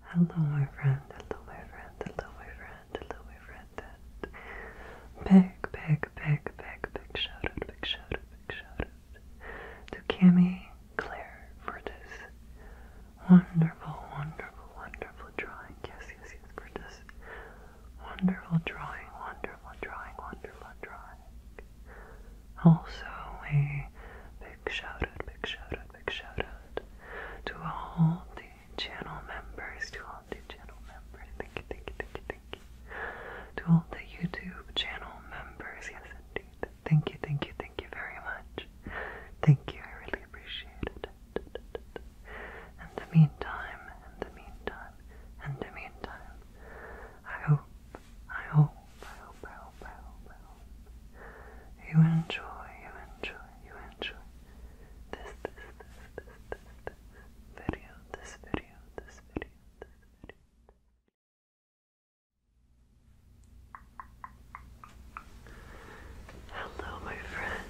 Hello, my friend. Hello, my friend. Hello, my friend. Hello, my friend. And big, big, big, big, big shout out, big shout out, big shout out to Cami Claire for this wonderful, wonderful, wonderful drawing. Yes, yes, yes, for this wonderful drawing, wonderful drawing, wonderful drawing. Also, a big shout out, big shout out big shout out to all the channel members, to all the channel members. Thank you, thank you, thank you, thank you. To all the YouTube channel members, yes indeed. Thank you, thank you, thank you very much. Thank you, I really appreciate it. In the meantime, in the meantime, in the meantime, I hope, I hope, hope, I hope, I hope, I hope, I hope you enjoy, you enjoy, you enjoy this, this, this, this, this, this video, this video, this video, this video. Hello, my friend.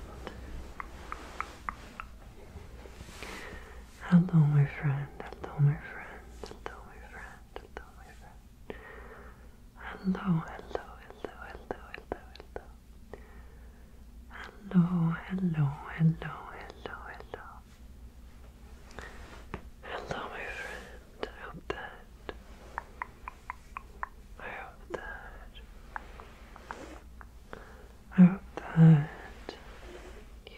Hello, my friend. Hello, my friend. Hello, my friend. Hello, my friend. Hello, hello, hello, hello, hello, hello. Hello, hello, hello, hello, hello. Hello, my friend. I hope that. I hope that. I hope that you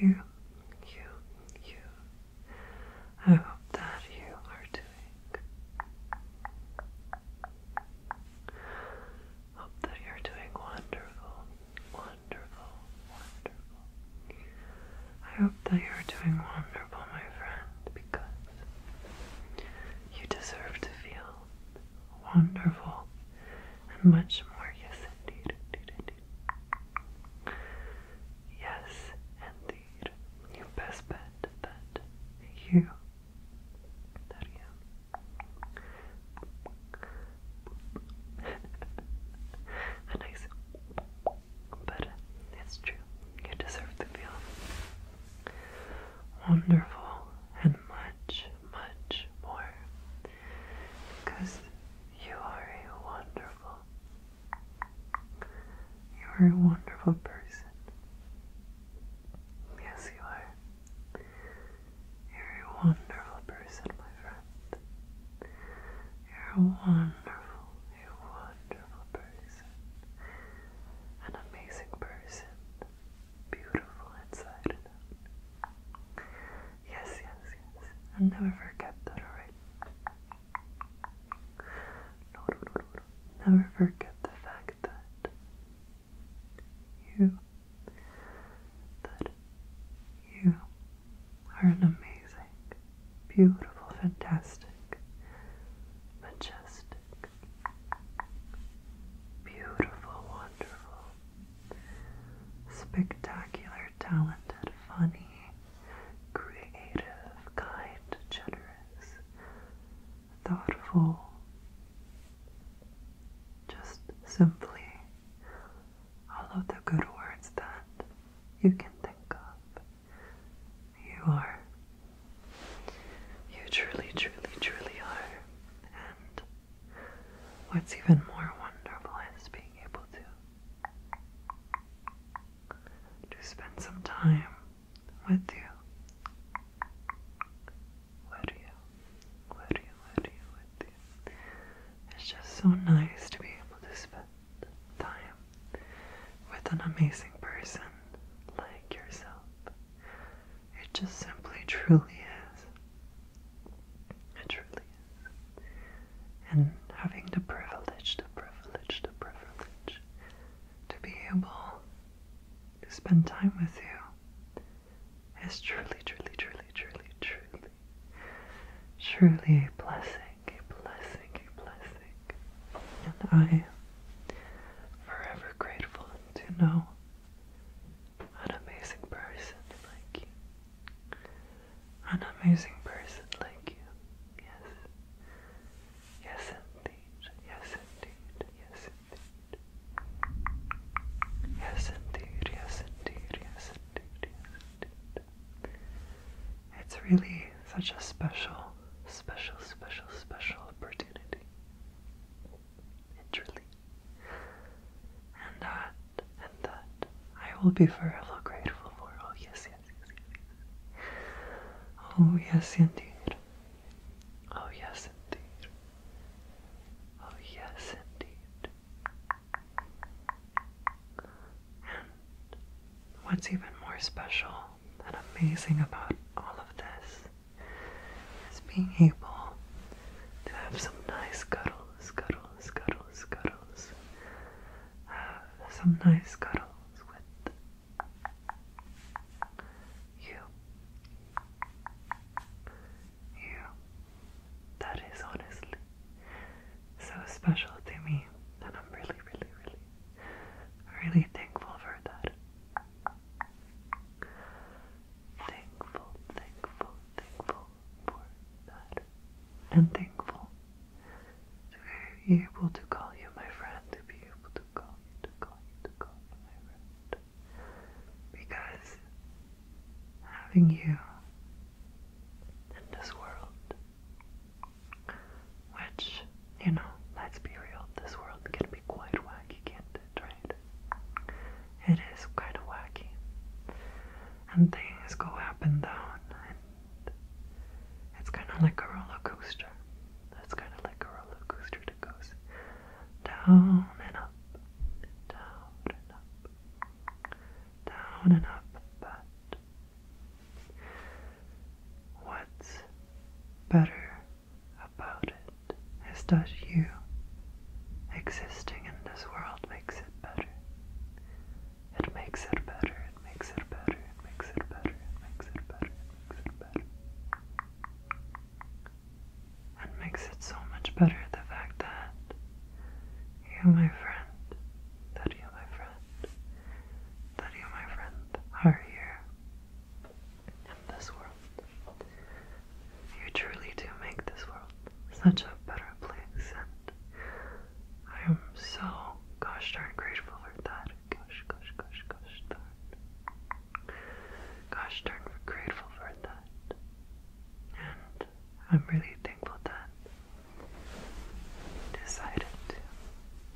you, you, you. I hope that you are doing. Hope that you're doing wonderful, wonderful, wonderful. I hope that you're doing wonderful, my friend, because you deserve to feel wonderful and much more. Yes, indeed, indeed, indeed. Yes, indeed. You best bet that you, that you, a nice, but it's true. You deserve to feel wonderful and much, much more because you are wonderful you are a wonderful person. Yes, you are. You're a wonderful person, my friend. You're a wonderful, a wonderful person. An amazing person. Beautiful inside Yes, yes, yes. i never forget that, alright? Never forget the fact that you, that you are an amazing, beautiful, fantastic, majestic, beautiful, wonderful, spectacular, talented, funny, creative, kind, generous, thoughtful, just simply all of the good words that you can think of. You are. You truly, truly, truly are. And what's even more wonderful is being able to to spend some time with you. With you, with you, with you, It's just so nice to be able to spend time with an amazing person like yourself. It just simply truly is. It truly is and having the privilege, the privilege, the privilege to be able to spend time with you is truly, truly, truly, truly, truly, truly a blessing, a blessing, a blessing. And I am forever grateful to know an amazing person like you an amazing person like you. Yes. Yes, indeed. Yes, indeed. Yes, indeed. Yes, indeed. Yes, indeed. Yes, indeed. Yes, indeed. It's really such a special, special, special, special opportunity. It truly. And uh, and that I will be forever grateful for. Oh, yes, yes, yes, Oh, yes, indeed. Oh, yes, indeed. Oh, yes, indeed. what's even more special and amazing about all of this is being able to have some nice cuddles, cuddles, cuddles, cuddles some nice cuddles with you. You. That is honestly so special to me, and I'm really, really, really, really thankful for that. Thankful, thankful, thankful, for that and thankful to be able to call you my friend, to be able to call you, to call you, to call you my friend. Because having you in this world, which, you know, let's be real, this world can be quite wacky, can't it, right? It is kind of wacky. And things go up and down, it's kind of like a roller coaster. It's kind of like a roller coaster that goes down and up, down and up, down and up. But what's better about it is that you existing in this world makes it better. It makes it better, it makes it better, it makes it better, it makes it better, it makes it better. And makes it so much better the fact that you, my friend, that you, my friend, that you, my friend, are here in this world. You truly do make this world such a better place and I am so gosh darn grateful for that. Gosh, gosh, gosh, gosh darn. Gosh darn grateful for that. And I'm really thankful that you decided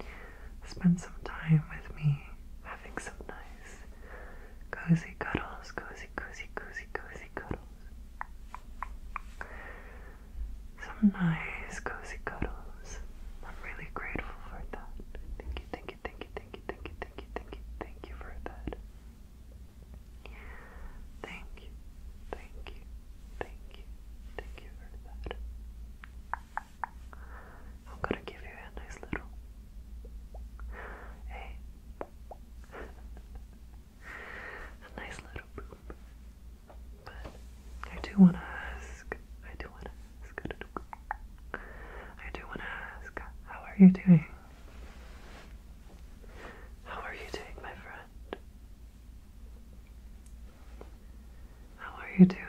to spend some time with me having some nice cozy cuddles, cozy, cozy, cozy, cozy cuddles some nice cozy cuddles. I'm really grateful for that. Thank you, thank you, thank you, thank you, thank you, thank you, thank you, thank you for that. Thank you, thank you, thank you, thank you for that. I'm gonna give you a nice little. Hey a nice little poop. But I do want to ask, I do want to ask, I do want to ask, how are you doing? How are you doing, my friend? How are you doing?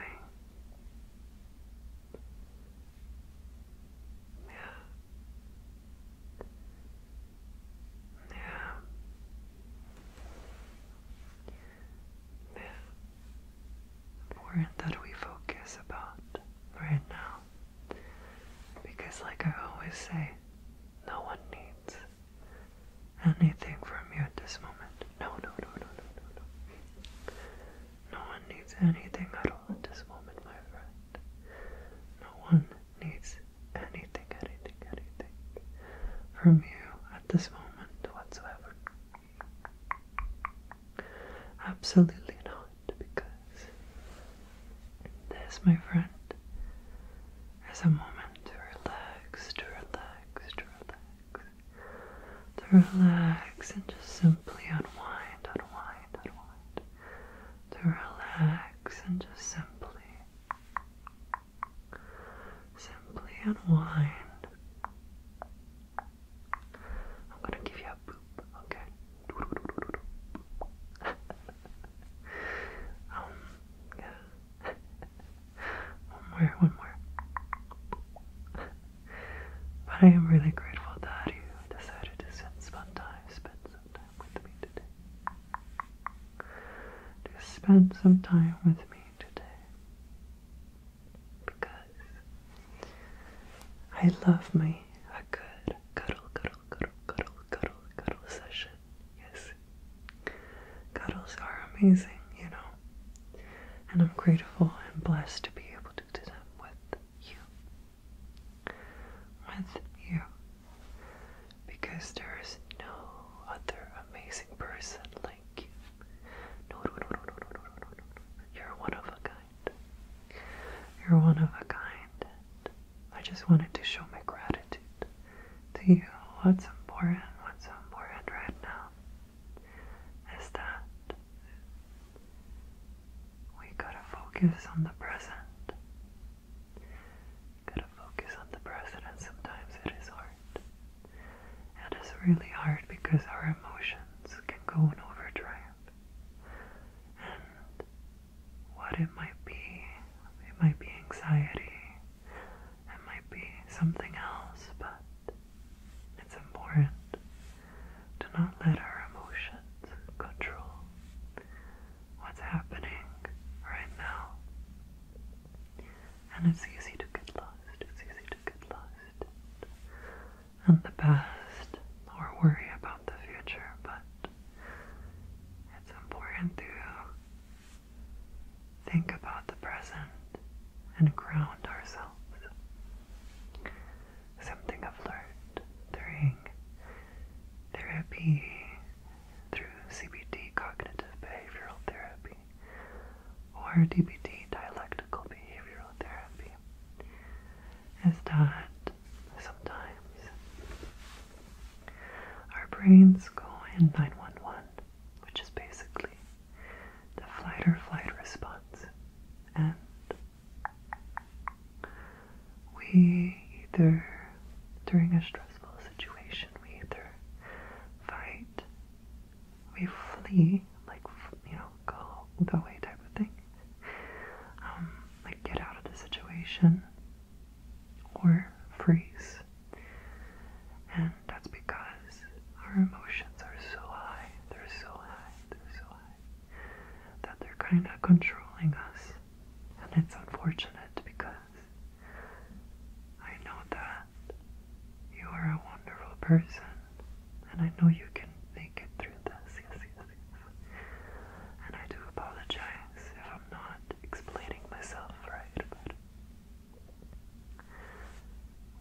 Yeah. Yeah. Yeah. Important that we focus about right now. Because, like I always say, no one needs anything from you at this moment. No, no, no, no, no, no, no. No one needs anything at all at this moment, my friend. No one needs anything, anything, anything from you at this moment whatsoever. Absolutely not, because this, my friend, is a moment to relax, to relax, to relax, to relax and just simply unwind, unwind, unwind, to relax and just simply Simply unwind. I'm gonna give you a boop, okay? um, yeah. one more, one more. But I am really grateful that you decided to spend some time, spend some time with me today. Just spend some time with me today. Because I love me a good cuddle, cuddle, cuddle, cuddle, cuddle, cuddle session. Yes. Cuddles are amazing, you know. And I'm grateful and blessed to be able to do them with you. With you because there is no other amazing person like you. No, no, no, no, no, no, no, no, no. You're one of a kind. You're one of a kind. I just wanted to show my gratitude to you. What's important, what's important right now is that we gotta focus on the present. Gotta focus on the present, sometimes it is hard. And it's really hard because our emotions can go in overdrive. And what it might be, it might be anxiety, it might be something else, but it's important to not let our emotions control what's happening right now. And it's easy to get lost, it's easy to get lost in the past or worry about the future, but it's important to think about the present and ground ourselves. Something I've learned during therapy through CBT cognitive behavioral therapy or DBT dialectical behavioral therapy is that sometimes our brains go in 911, which is basically the flight or flight response, and we either, during a stressful situation, we either fight, we flee, like, you know, go, go way type of thing, um, like get out of the situation, or freeze. And that's because our emotions are so high, they're so high, they're so high, that they're kind of controlling us. And it's unfortunate because I know that you are a wonderful person, and I know you can make it through this. Yes, yes, yes. And I do apologize if I'm not explaining myself right,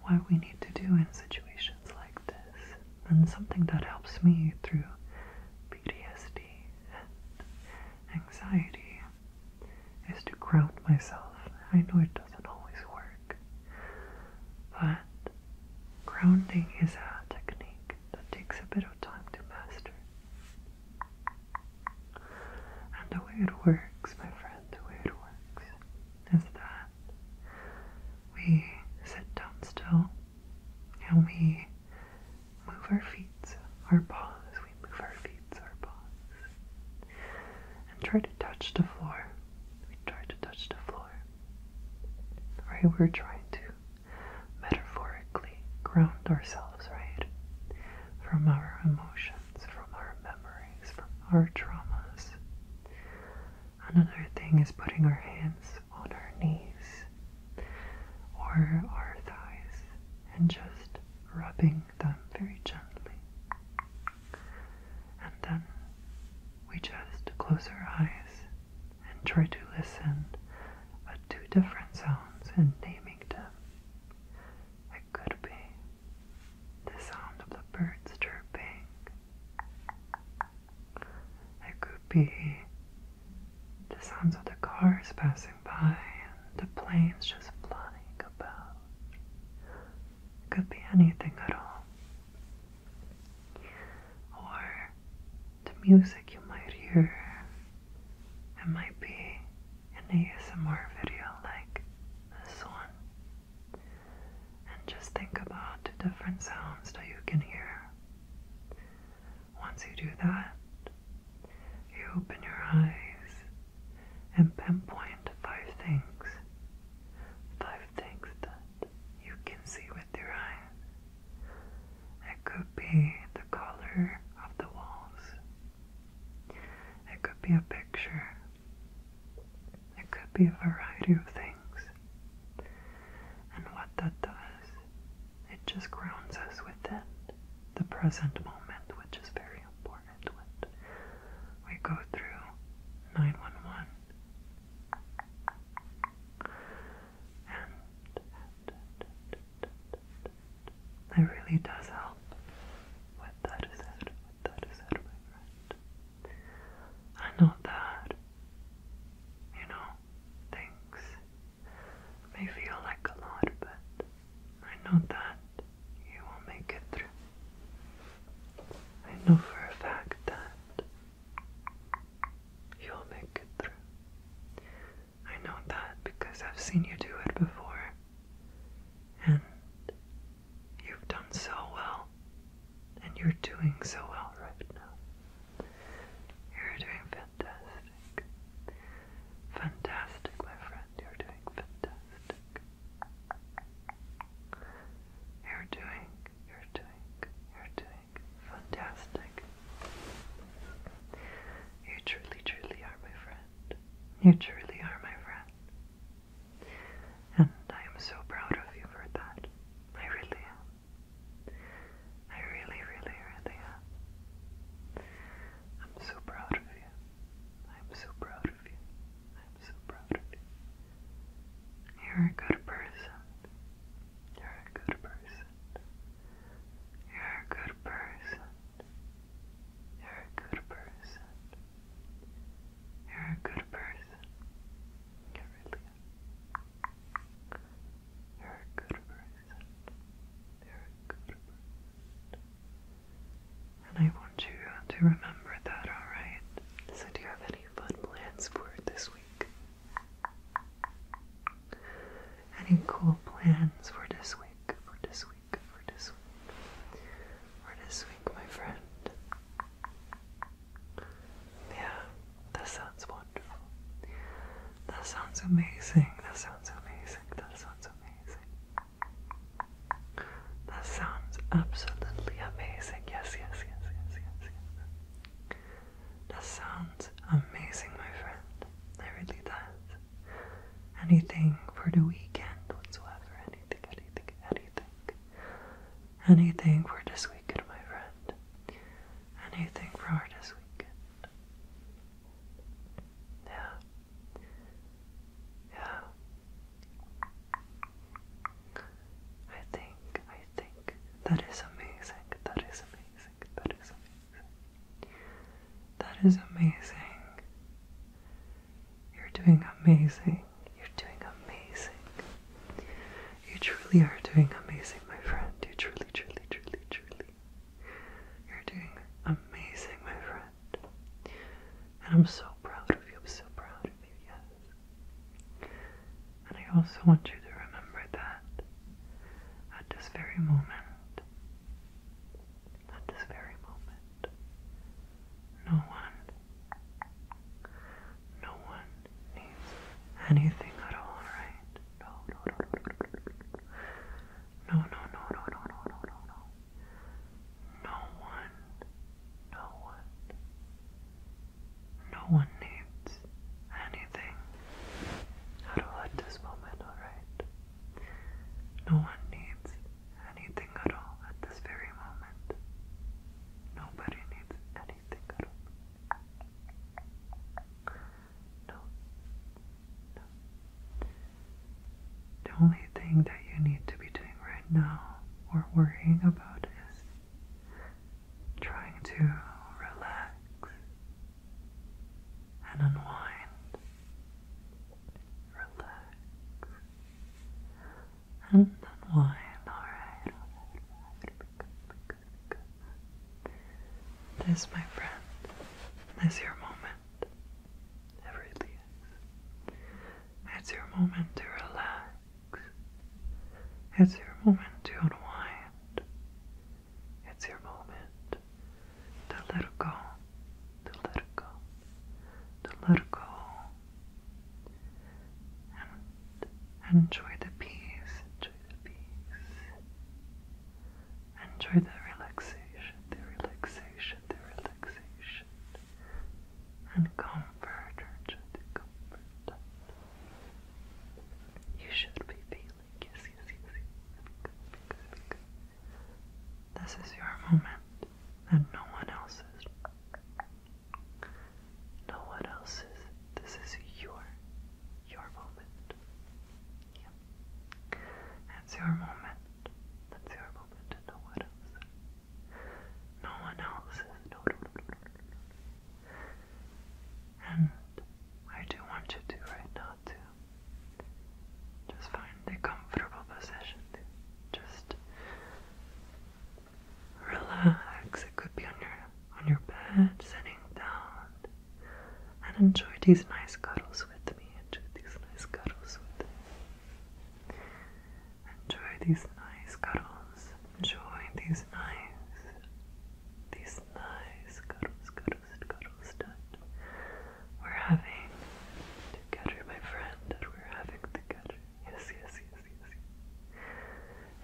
what we need to do in situations like this, and something that helps me through PTSD anxiety is to ground myself. I know it doesn't always work, but grounding is a technique that takes a bit of time to master. And the way it works, my friend, the way it works is that we sit down still and we move our feet, our paws. We move our feet, our paws. And try to touch the floor. We try to touch the floor. Right? We're trying to metaphorically ground ourselves, right? From our emotions, from our memories, from our traumas. Another thing is putting our hands on our knees or our thighs and just rubbing them very gently. And then we just close our eyes and try to listen at two different sounds and naming them. It could be the sound of the birds chirping. It could be the sounds of the cars passing by and the planes just flying about. It could be anything at all. Or the music you might hear. It might be an ASMR video like this one. And just think about the different sounds that you can hear. Once you do that, you open your eyes and pinpoint five things. Five things that you can see with your eyes. It could be the color of the walls. It could be a picture. It could be a variety of things. And what that does it just grounds us within the present moment, which is very important when we go through 911. And it really does help. With that is it, with that is it, my friend. I know that, you know, things may feel like a lot, but I know that you will make it through. I know for a fact that you'll make it through. I know that because I've seen you do it before, and you've done so well, and you're doing so well right now. You're doing fantastic fantastic. Fantastic, my friend. You're doing fantastic. You're doing, you're doing, you're doing fantastic. You truly, truly are my friend. You truly are my friend. And I am so proud of you for that. I really am. I really, really, really am. I'm so proud of you. I'm so proud of you. I'm so proud of you. You're a good person. You're a good person. You're a good person. You're a good person. You're a good person. You really are. You're a good person. And I want you to remember that, alright? So, do you have any fun plans for this week? Any cool plans for this week? For this week? For this week? For this week, my friend? Yeah, that sounds wonderful. That sounds amazing. That sounds amazing. That sounds amazing. That sounds absolutely amazing. Yes, yes, yes, yes, yes, yes. That sounds amazing, my friend. really does. Anything for the weekend whatsoever. Anything, anything, anything. Anything for this weekend, my friend. Anything for this weekend. Yeah. Yeah. I think, I think that is amazing. That is amazing. That is amazing. That is amazing. You're doing amazing. You're doing amazing. You truly are doing amazing, my friend. You truly, truly, truly, truly you're doing amazing, my friend. And I'm so proud of you. I'm so proud of you, yes. And I also want you to remember that at this very moment, at this very moment, no one, no one needs anything at all, right? no, no, no, no, no, no, no, no, no, no, one, no one, no one needs anything at all at this moment, alright? No one needs anything at all at this very moment. Nobody needs anything at all no, no. The only thing that you need to be doing right now or worrying about is trying to relax and unwind. Relax and unwind. Alright, good. This, my friend, is your moment. It It's your moment to relax. It's your moment to unwind. It's your moment to let it go. To let go. To let go. And enjoy the peace, peace. Enjoy the relaxation, the relaxation, the relaxation. And comfort, enjoy the comfort. You should be feeling, yes, yes, yes, yes. This is your moment and no one else's. No one else's. This is your, your moment. That's your moment. That's your moment to know what else. No one else is. No, no, no, And I do want you to right now to just find a comfortable position just relax. It could be on your on your bed, sitting down and enjoy these nice cuddles with me. Enjoy these nice cuddles with me. Enjoy these nice cuddles. Enjoy these nice, these nice cuddles, cuddles, and cuddles that we're having together, my friend. That we're having together. Yes, yes, yes, yes. yes.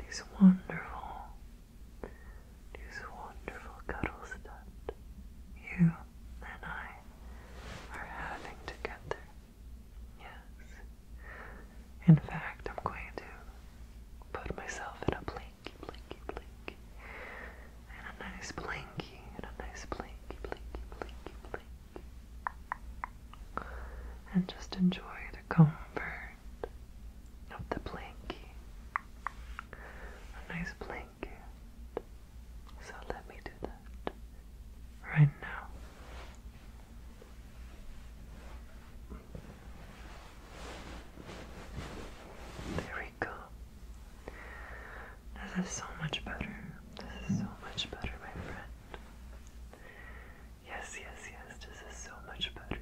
These wonderful, whose wonderful cuddles that you and I are having together. Yes. In fact, I'm going to put myself in a blinky, blinky, blinky, and a nice blinky, and a nice blinky, blinky, blinky, blinky, and just enjoy the comfort of the blinky a nice blanket. So let me do that right now. There we go. This is so much better. This is so much better, my friend. Yes, yes, yes, this is so much better.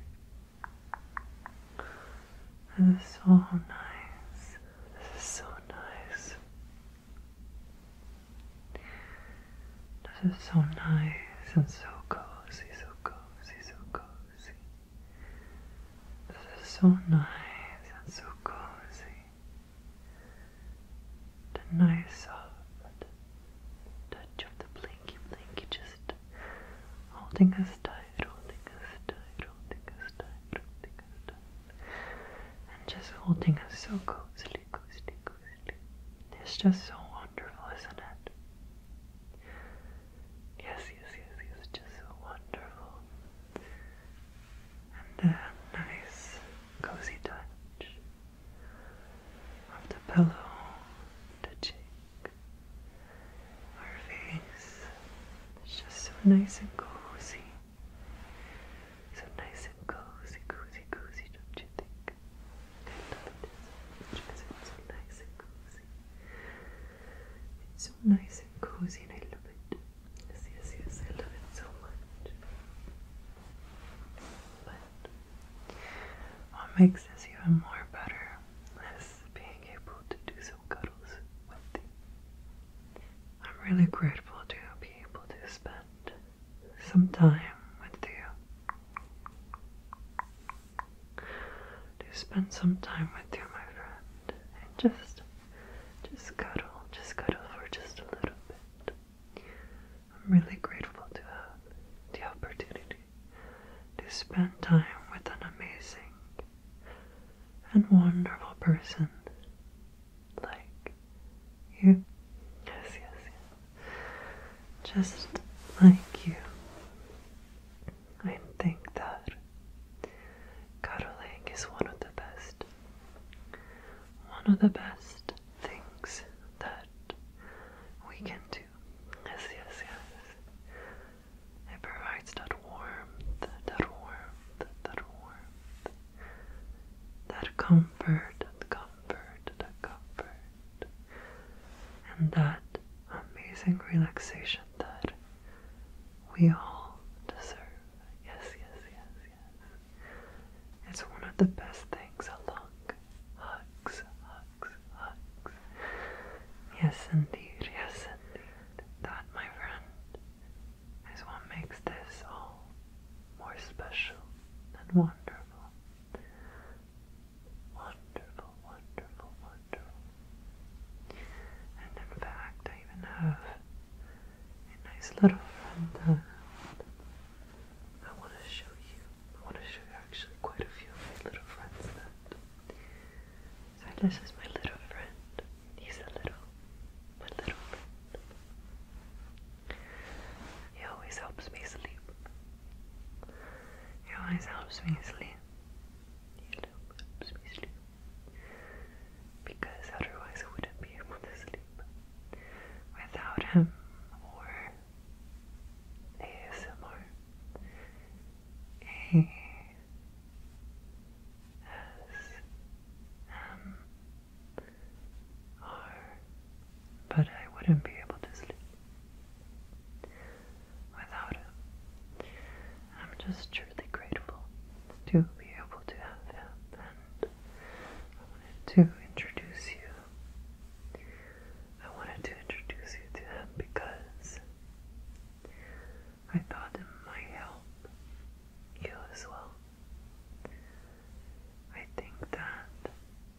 This is so nice. This is so nice. This is so nice and so cozy, so cozy, so cozy. This is so nice and so cozy. The nice soft touch of the blinky blinky just holding us tight rolling us tight, rolling us tight, rolling us tight. And just holding us so cozily, cozily, cozily. It's just so wonderful, isn't it? Yes, yes, yes, It's just so wonderful. And the nice, cozy touch of the pillow touching our face is just so nice and cozy. So nice and cozy, cozy, cozy, don't you think? I love it so much because it's so nice and cozy. It's so nice and cozy and I love it. Yes, yes, yes, I love it so much. But what makes this even more better is being able to do cuddles with you. I'm really grateful to be able to spend some time with you. To spend some time with you, my friend, and just, just cuddle, just cuddle for just a little bit. I'm really grateful to have the opportunity to spend time with an amazing and wonderful person like you. Yes, yes, yes. Just like you. I think that cuddling is one of the best, one of the best things that we can do too. Yes, yes, yes. It provides that warmth, that warmth, that warmth, that comfort, that comfort, that comfort, and that amazing relaxation that we all deserve. Yes, yes, yes, yes. It's one of the best things along hugs, hugs, hugs. Yes, indeed, yes, indeed. That, my friend, is what makes this all more special and wonderful. Wonderful, wonderful, wonderful. And in fact, I even have a nice little friend I want to show you. I want to show you actually quite a few of my little friends that so this is my little friend. He's a little, my little friend. He always helps me sleep. He always helps me sleep. He helps me sleep. Because otherwise I wouldn't be able to sleep. Without him or ASMR, a S M R, but I wouldn't be able to sleep without him. I'm just truly grateful to be able to have him, and I wanted to introduce you. I wanted to introduce you to him because I thought it might help you as well. I think that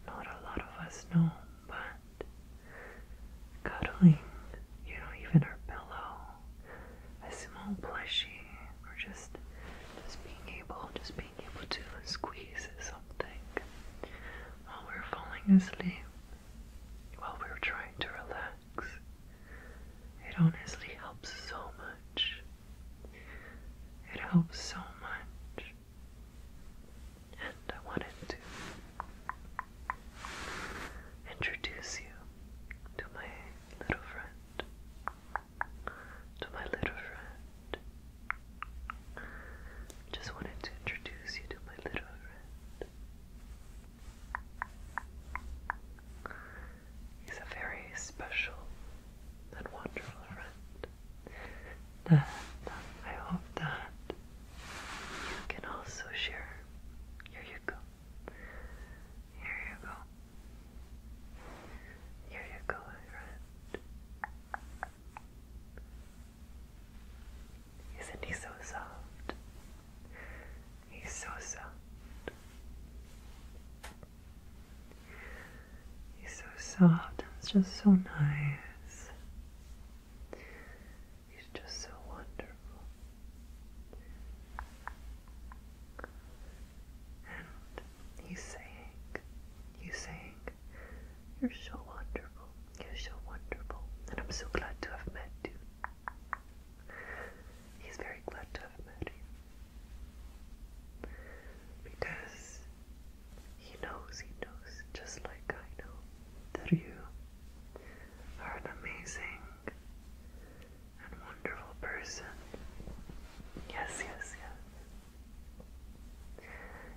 not a lot of us know, but cuddling, you know, even our pillow, a small plushie, or just just being able, just being able to squeeze something while we're falling asleep while we're trying to relax. It honestly helps so much. It helps so much. And I wanted to introduce you to my little friend. To my little friend. Just wanted to introduce you to my little friend. He's a very special and wonderful friend. And I hope that you can also share. Here you go. Here you go. Here you go, friend. Isn't he so soft? He's so soft. He's so soft. It's just so nice. He's just so wonderful. And he's saying, he's saying, you're so wonderful. You're so wonderful, and I'm so glad to have met you. He's very glad to have met you. Because he knows, he knows, just like I know, that you are an amazing and wonderful person. Yes, yes, yes.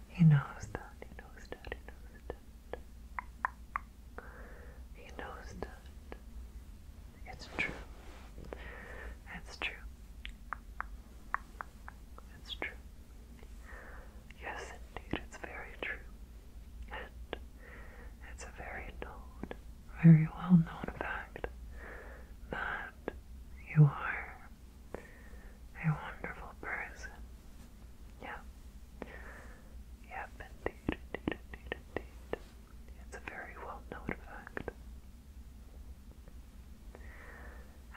He knows that, he knows that, he knows that. He knows that. It's true. It's true. It's true. Yes, indeed, it's very true. And it's a very known, very well known fact that you are a wonderful person. Yeah. Yep, indeed, indeed, indeed, indeed. It's a very well known fact.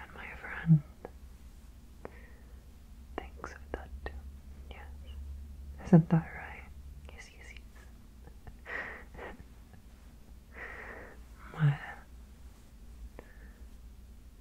And my friend thinks that too. Yes. Isn't that right? Yes, yes, yes. well,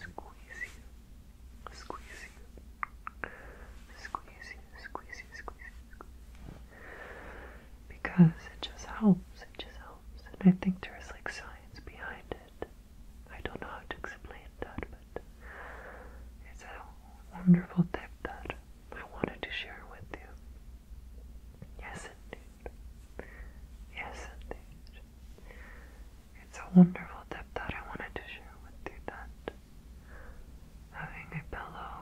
squeeze you, squeeze you, squeeze you, because it just helps, it just helps, and I think there's like science behind it. I don't know how to explain that, but it's a wonderful tip that I wanted to share with you. Yes, indeed. Yes, indeed. It's a wonderful tip that I wanted to share with you that having a pillow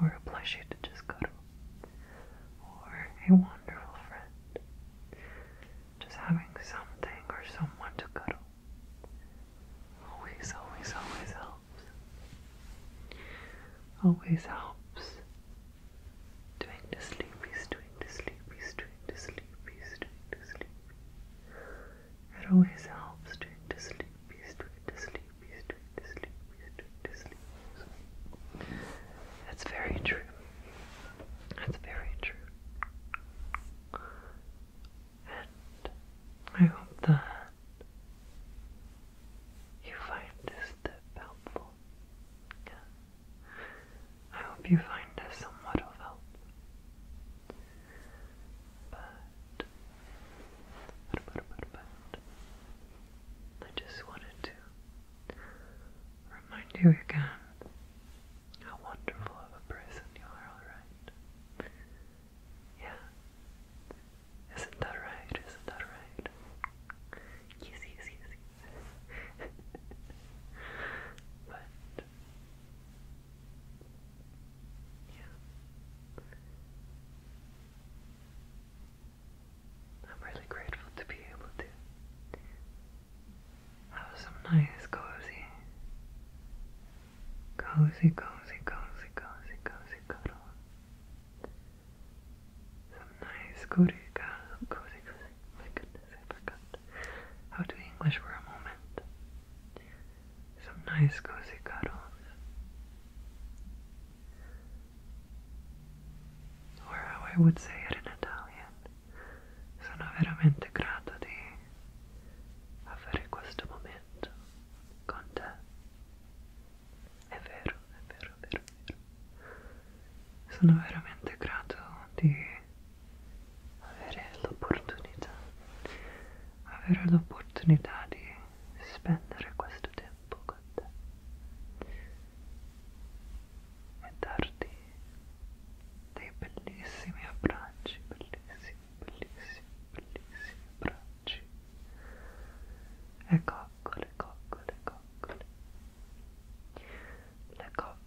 or a plushie to just cuddle or a wonderful friend, just having something or someone to cuddle always, always, always helps. Always helps Doing the sleepies, doing the sleepies, doing the sleepies, doing the sleepies. It always helps doing the sleepies, doing the sleepies, doing the sleepies, doing the sleepies. That's very true. That's very true. And I hope that you find this step helpful. I hope you find this somewhat of help. But, but, but, but, but, I just wanted to remind you again how wonderful of a person you are, alright? Yeah. Isn't that right? Isn't that right? yes, yes, yes but yeah. I'm really grateful to be able to have some nice cozy, cozy, cozy, cozy, cozy, cuddle. Some nice cozy cuddle, cozy, cozy my goodness, I forgot how to English for a moment. Some nice cozy cuddles. Or how I would say it in Italian. Sono veramente grata di avere questo momento con te. È vero, è vero, vero, vero. sono veramente grato di avere l'opportunità avere l'opportunità di spendere questo tempo con te e darti dei bellissimi abbracci bellissimi bellissimi bellissimi abbracci e coccole coccole coccole le coccole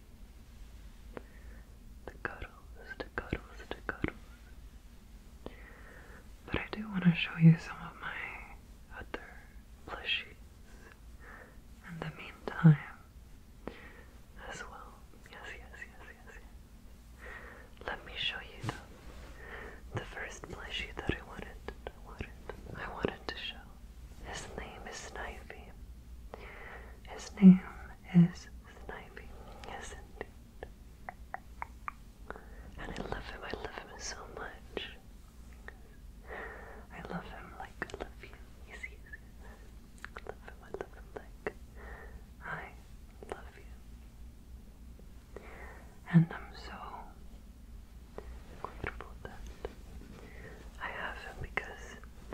The cuddles, the cuddles, the cuddles. But I do want to show you some of my other plushies in the meantime as well. Yes, yes, yes, yes, yes. Let me show you the, the first plushie that I I wanted, I wanted to show. His name is Snivy. His name is Snivy. Yes, indeed. And I love him. I love him so much. I love him like I love you. I love him. I love him like I love you. And I'm so I have him because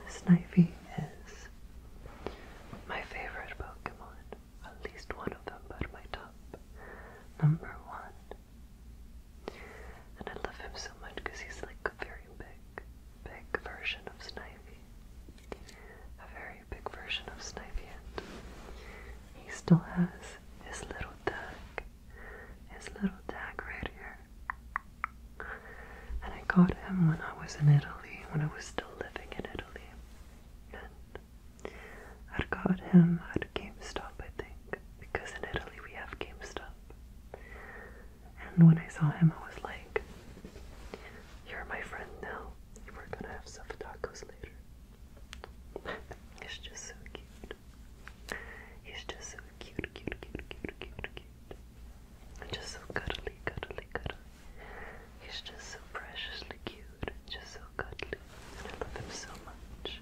Snivy is my favorite Pokemon. At least one of them, but my top number one. And I love him so much because he's like a very big, big version of Snivy. A very big version of Snivy, he still has his little tag, his little tag right here. And I got him when I was in Italy, when I was still living in Italy. And I got him at GameStop, I think, because in Italy we have GameStop. And when I saw him, I was like, You're my friend now. We're gonna have some tacos later. it's just so cute. He's just so cute, cute, cute, cute, cute, cute. just so cuddly, cuddly, cuddly. He's just so preciously cute, just so cuddly. I love him so much.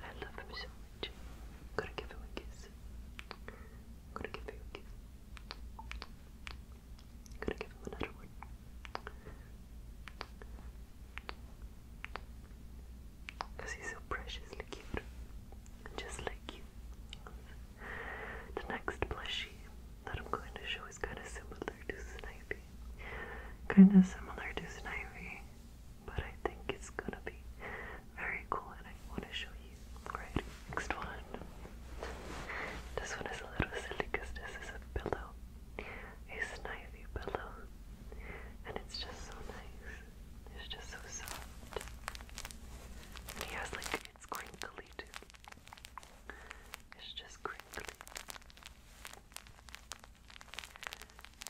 I love him so much. gonna give him a kiss. gonna give him a kiss. gonna give him another one. Because he's so preciously cute. Just like you. The next plushie that I'm going to show is kind of similar to Snivy. Kind of similar to Snivy. But I think it's gonna be very cool and I want to show you. Alright, next one. This one is a little silly because this is a pillow. A Snivy pillow. And it's just so nice. It's just so soft. he has like, it's crinkly too. It's just crinkly.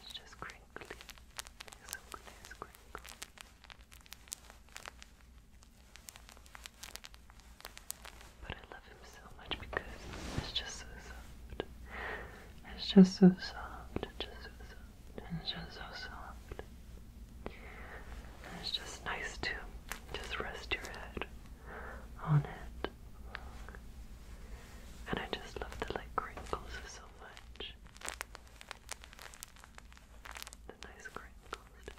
It's just crinkly. It's so crinkly. But I love him so much because it's just so soft. It's just so soft. It's just so soft and it's just so soft. And it's just nice to just rest your head on it. And I just love the like crinkles so much. The nice crinkles, the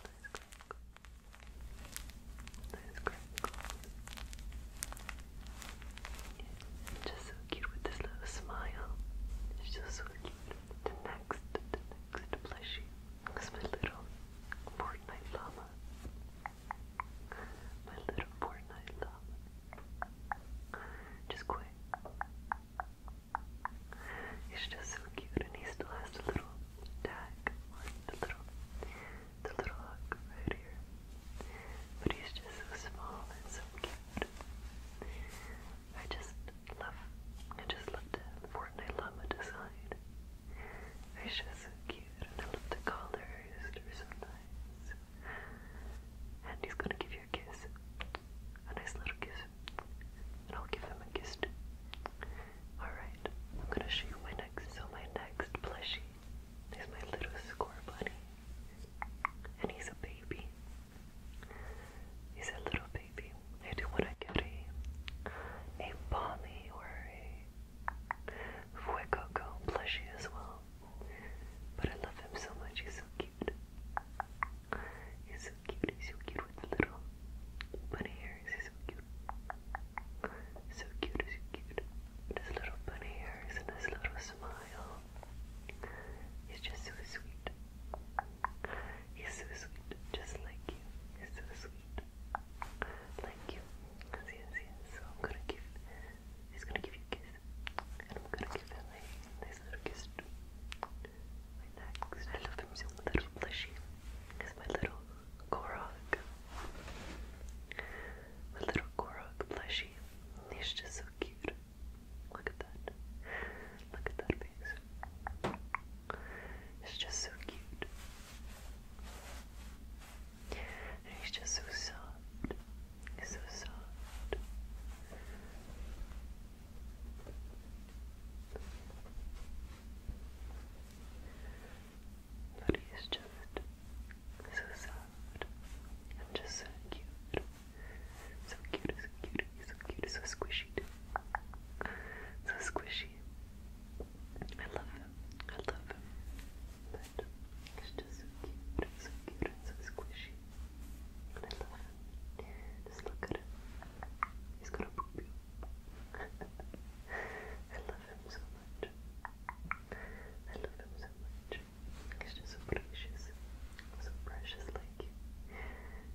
nice crinkles. Nice crinkles. Just cute with this little smile. It's just so cute. The next, the next plushie is my little Fortnite llama. My little Fortnite llama. Just quick. He's just so cute, and he still has a little tag, the little, the little hook right here. But he's just so small and so cute. I just love, I just love the Fortnite Llama design. It's just so cute, and I love the colors, they're so nice. And he's gonna give you a kiss, a nice little kiss, and I'll give him a kiss too. Alright, I'm gonna show you my next, so my next plushie is my little score bunny and he's a baby. He's a little baby. I do want to get a a Polly or a Fuecoco plushie as well. But I love him so much. He's so cute. He's so cute. He's so cute with the little bunny ears. He's so cute. So cute. So cute. With his little bunny ears and his little smile. He's just so sweet. He's so sweet, just like you. He's so sweet, like you. Yes, yes. So I'm gonna give. He's gonna give you a kiss, and I'm gonna give him a nice little kiss too. My next, I love him so much. Plushy is my little Korok. My little Korok plushie. He's just so cute. Look at that. Look at that face. It's just so cute. he's just so soft. He's so soft. But he's just so soft. I'm just so cute. So cute, so cute, so cute, so squishy. So squishy. I love him. I love him. he's just so cute, so cute, so squishy. I love him. Just look at him. He's gonna poop you. I love him so much. I love him so much. Because you so precious. So precious like you.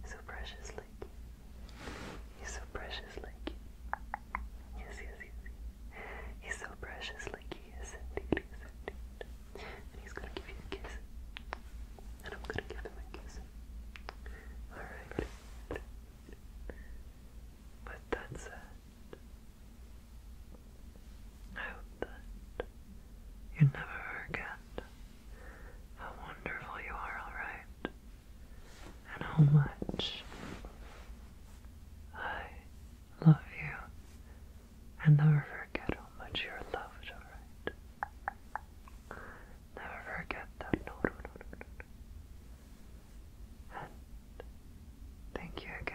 So precious like you. He's so precious like you. Yes, yes, yes. He's so precious like he is indeed. He indeed. And he's gonna give you a kiss. And I'm gonna give him a kiss. Alright. But that's it. I hope that you never forget how wonderful you are, alright? And how much I love you. And never forget how much you're loved, alright? Never forget that. No, And thank you again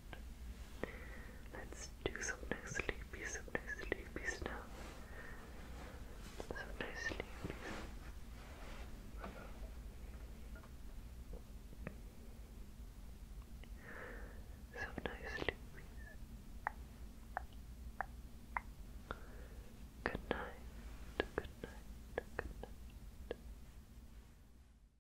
Let's do some nice sleepy, some nice sleepy stuff. Some nice sleepy. Some nice sleepy. Good night. Good night. Good night.